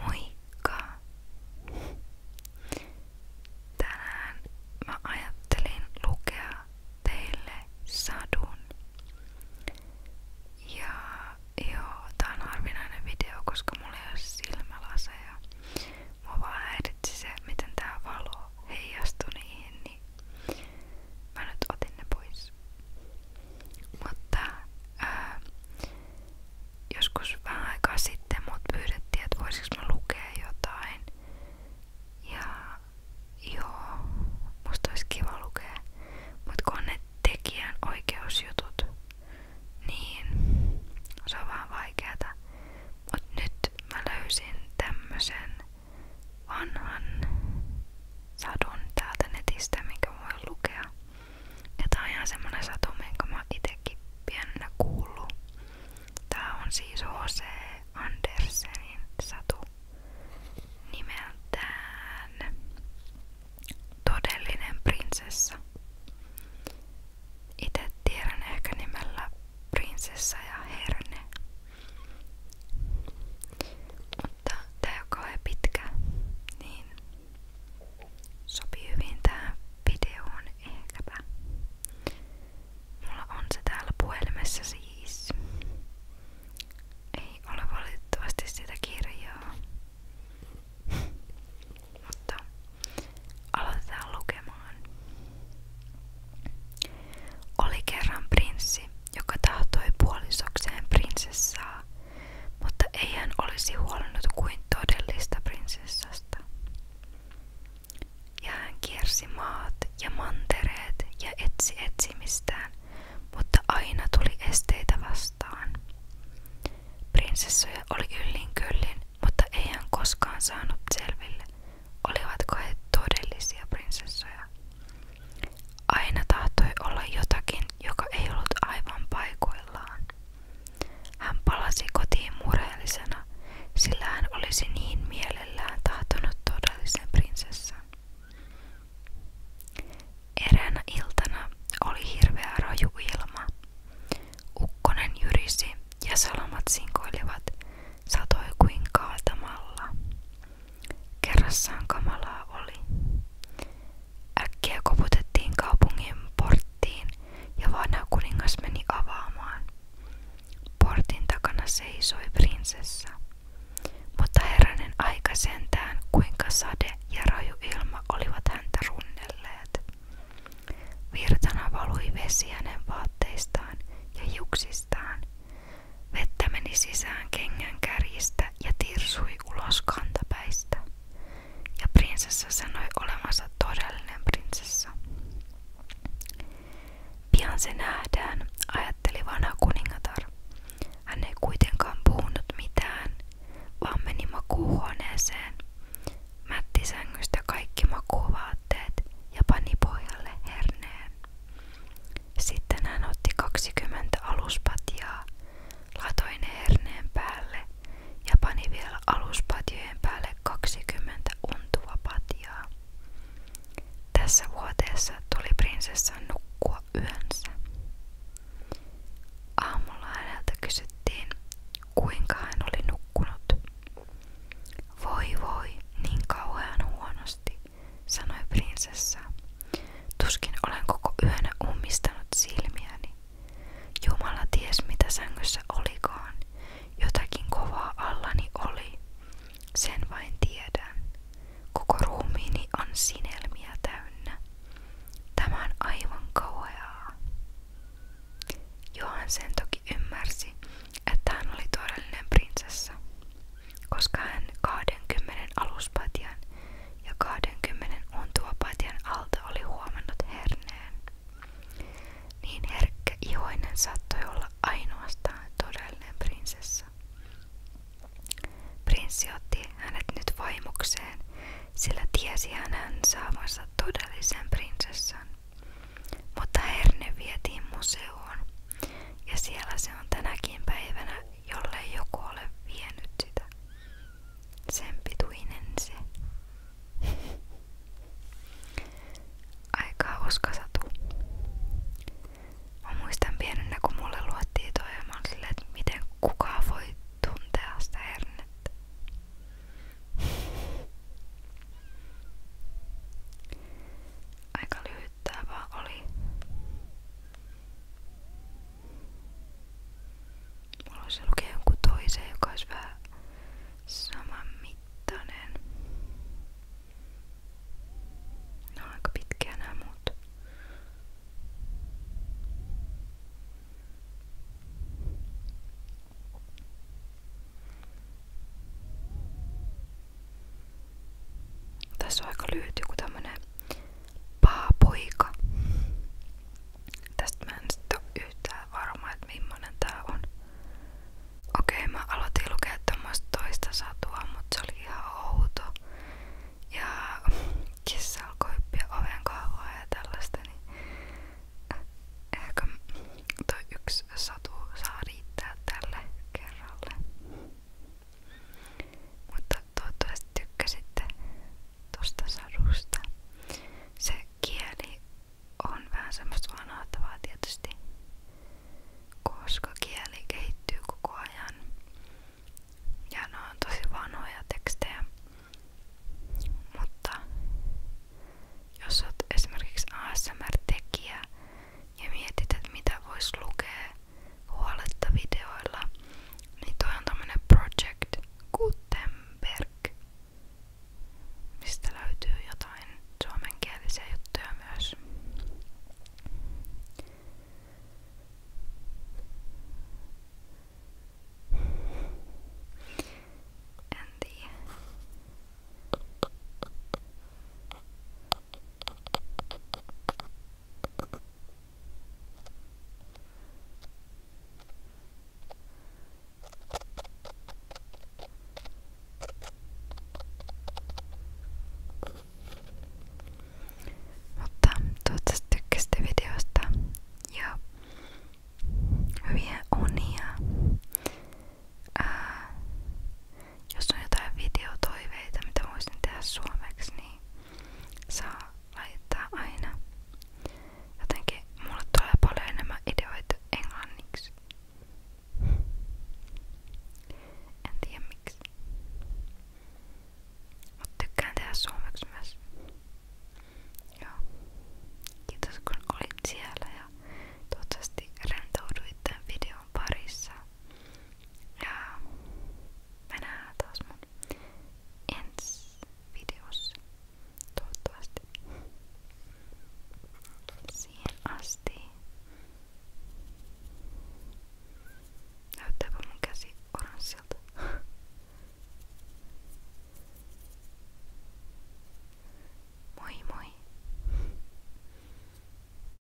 Moikka! Tänään mä ajattelin lukea teille sadun. Ja joo, tää on harvinainen video, koska mulla ei ole silmälaseja. Mua vaan häiritsi se, miten tää valo heijastui niihin, niin mä nyt otin ne pois. Mutta ää, joskus vähän aikaa sitten mut pyydettiin, että voisinko mä lukea jotain. Ja joo, musta olisi kiva lukea. Mut kun ne tekijän oikeusjutut, niin se on vähän vaikeata, Mut nyt mä löysin tämmösen vanhan sadun täältä netistä, minkä voin lukea. Ja tää on ihan semmonen satu, minkä mä itekin pienenä kuullu. Tää on siis H.C. Andersenin satu nimeltään Todellinen prinsessa. Itse tiedän ehkä nimellä prinsessa ja herne. Mutta tää ei ole kauhean pitkä, niin Sopii hyvin tähän videoon ehkäpä. Mulla on se täällä puhelimessa siis. Ei ole valitettavasti sitä kirjaa. Mutta aloitetaan lukemaan. Oli kerran prinssi, joka tahtoi puolisokseen prinsessaa, mutta ei hän olisi huolennut kuin todellista prinsessasta. Ja hän kiersi maat ja mantereet ja etsi etsimistään, mutta aina tuli esteitä vastaan. Prinsessoja oli yllin kyllin, mutta ei hän koskaan saanut selville, olivatko he todellisia prinsessoja. Aina tahtoi olla jotakin, joka ei ollut aivan paikoillaan. Hän palasi kotiin murheellisena, sillä hän olisi niin mielellään tahtonut todellisen prinsessan. Eräänä iltana oli hirveä raju ilma. Ukkonen jyrisi ja salamat sinkoilivat, satoi kuin kaaltamalla. Kerrassaan kamalaa oli. Äkkiä koputettiin kaupungin porttiin ja vanha meni avaamaan. Portin takana seisoi prinsessa. Mutta herranen aika sentään, kuinka sade ja raju ilma olivat häntä runnelleet. Virtana valui vesi vaatteistaan ja hiuksistaan. Vettä meni sisään kengän kärjistä päästä ja tirsui ulos kantapäistä. Ja prinsessa sanoi olemansa todellinen prinsessa. Pian se nähdään, ajatteli vanha kuningatar. Hän ei kuitenkaan puhunut mitään, vaan meni makuuhuoneeseen, mätti sängystä kaikki makuuvaatteet ja pani pohjalle herneen. Sitten hän otti 20 aluspatjaa, Latoin herneen päälle ja pani vielä aluspatjojen päälle 20 untua patjaa. Tässä vuoteessa tuli prinsessan nukkua yönsä. Aamulla häneltä kysyttiin, kuinka hän oli nukkunut. Voi voi, niin kauhean huonosti, sanoi prinsessa Tuskin olen koko yönä ummistanut silmiäni. Jumala ties mitä sängyssä olikaan. Jotakin kovaa allani oli. Sen vain tiedän. Koko ruumiini on sinelmiä täynnä. Tämä on aivan kauheaa. Johan sen toki ymmärsi, että hän oli todellinen prinsessa koska hän 20 aluspatjan ja 20 untuopatjan alta oli huomannut herneen. Niin herkkä ihoinen saattoi olla ainoastaan todellinen prinsessa. Prinssi otti hänet nyt vaimokseen, sillä tiesi hänen saavansa todellisen prinsessan. Mutta herne vietiin museoon, ja siellä se on tänäkin päivänä jollei joku ole vienyt sitä. Sen pituinen se. Aikaa oskasatu. Mä muistan pienenä, kun mulle luettiin toi ja mä silleen, että miten kukaan voi tuntea sitä hernettä. Aika lyhyt tämä oli. Mulla olisi lukea jonkun toisen, joka olisi vähän saman mittainen. Ne Tässä on aika lyhyt joku tämmönen Paapoika. Tästä mä en sit oo yhtään varma, että millainen tää on. Okei, mä aloitin lukea tämmöstä toista satua, mutta se oli ihan outo. Ja kissa alkoi hyppiä oven kahvaa ja tällaista, niin ehkä toi yksi satu saa riittää tälle kerralle. Mutta toivottavasti tykkäsitte tosta sadusta. Se on vähän semmoista vanhahtavaa koska kieli kehittyy koko ajan. Ja ne vanhoja tekstejä. Mutta jos olet esimerkiksi ASMR-tekijä ja mietit, että mitä voisi lukea huoletta videoilla, niin toi on tämmönen Project Gutenberg, mistä löytyy jotain suomenkielisiä juttuja myös. En tiedä. Mutta toivottavasti tykkäsitte videosta ja hyviä unia. Ää, jos on jotain videotoiveita, mitä voisin tehdä suomeksi, niin saa laittaa aina. Jotenkin mulle tulee paljon enemmän ideoita englanniksi. En tiedä miksi. Mut tykkään tehdä suomeksi myös. Joo. Kiitos kun olit siellä ja toivottavasti rentouduit tämän videon parissa. Ja mä nähdään taas mun ensi videossa. Toivottavasti. Siihen asti. Näyttääpä mun käsi oranssilta. Moi moi!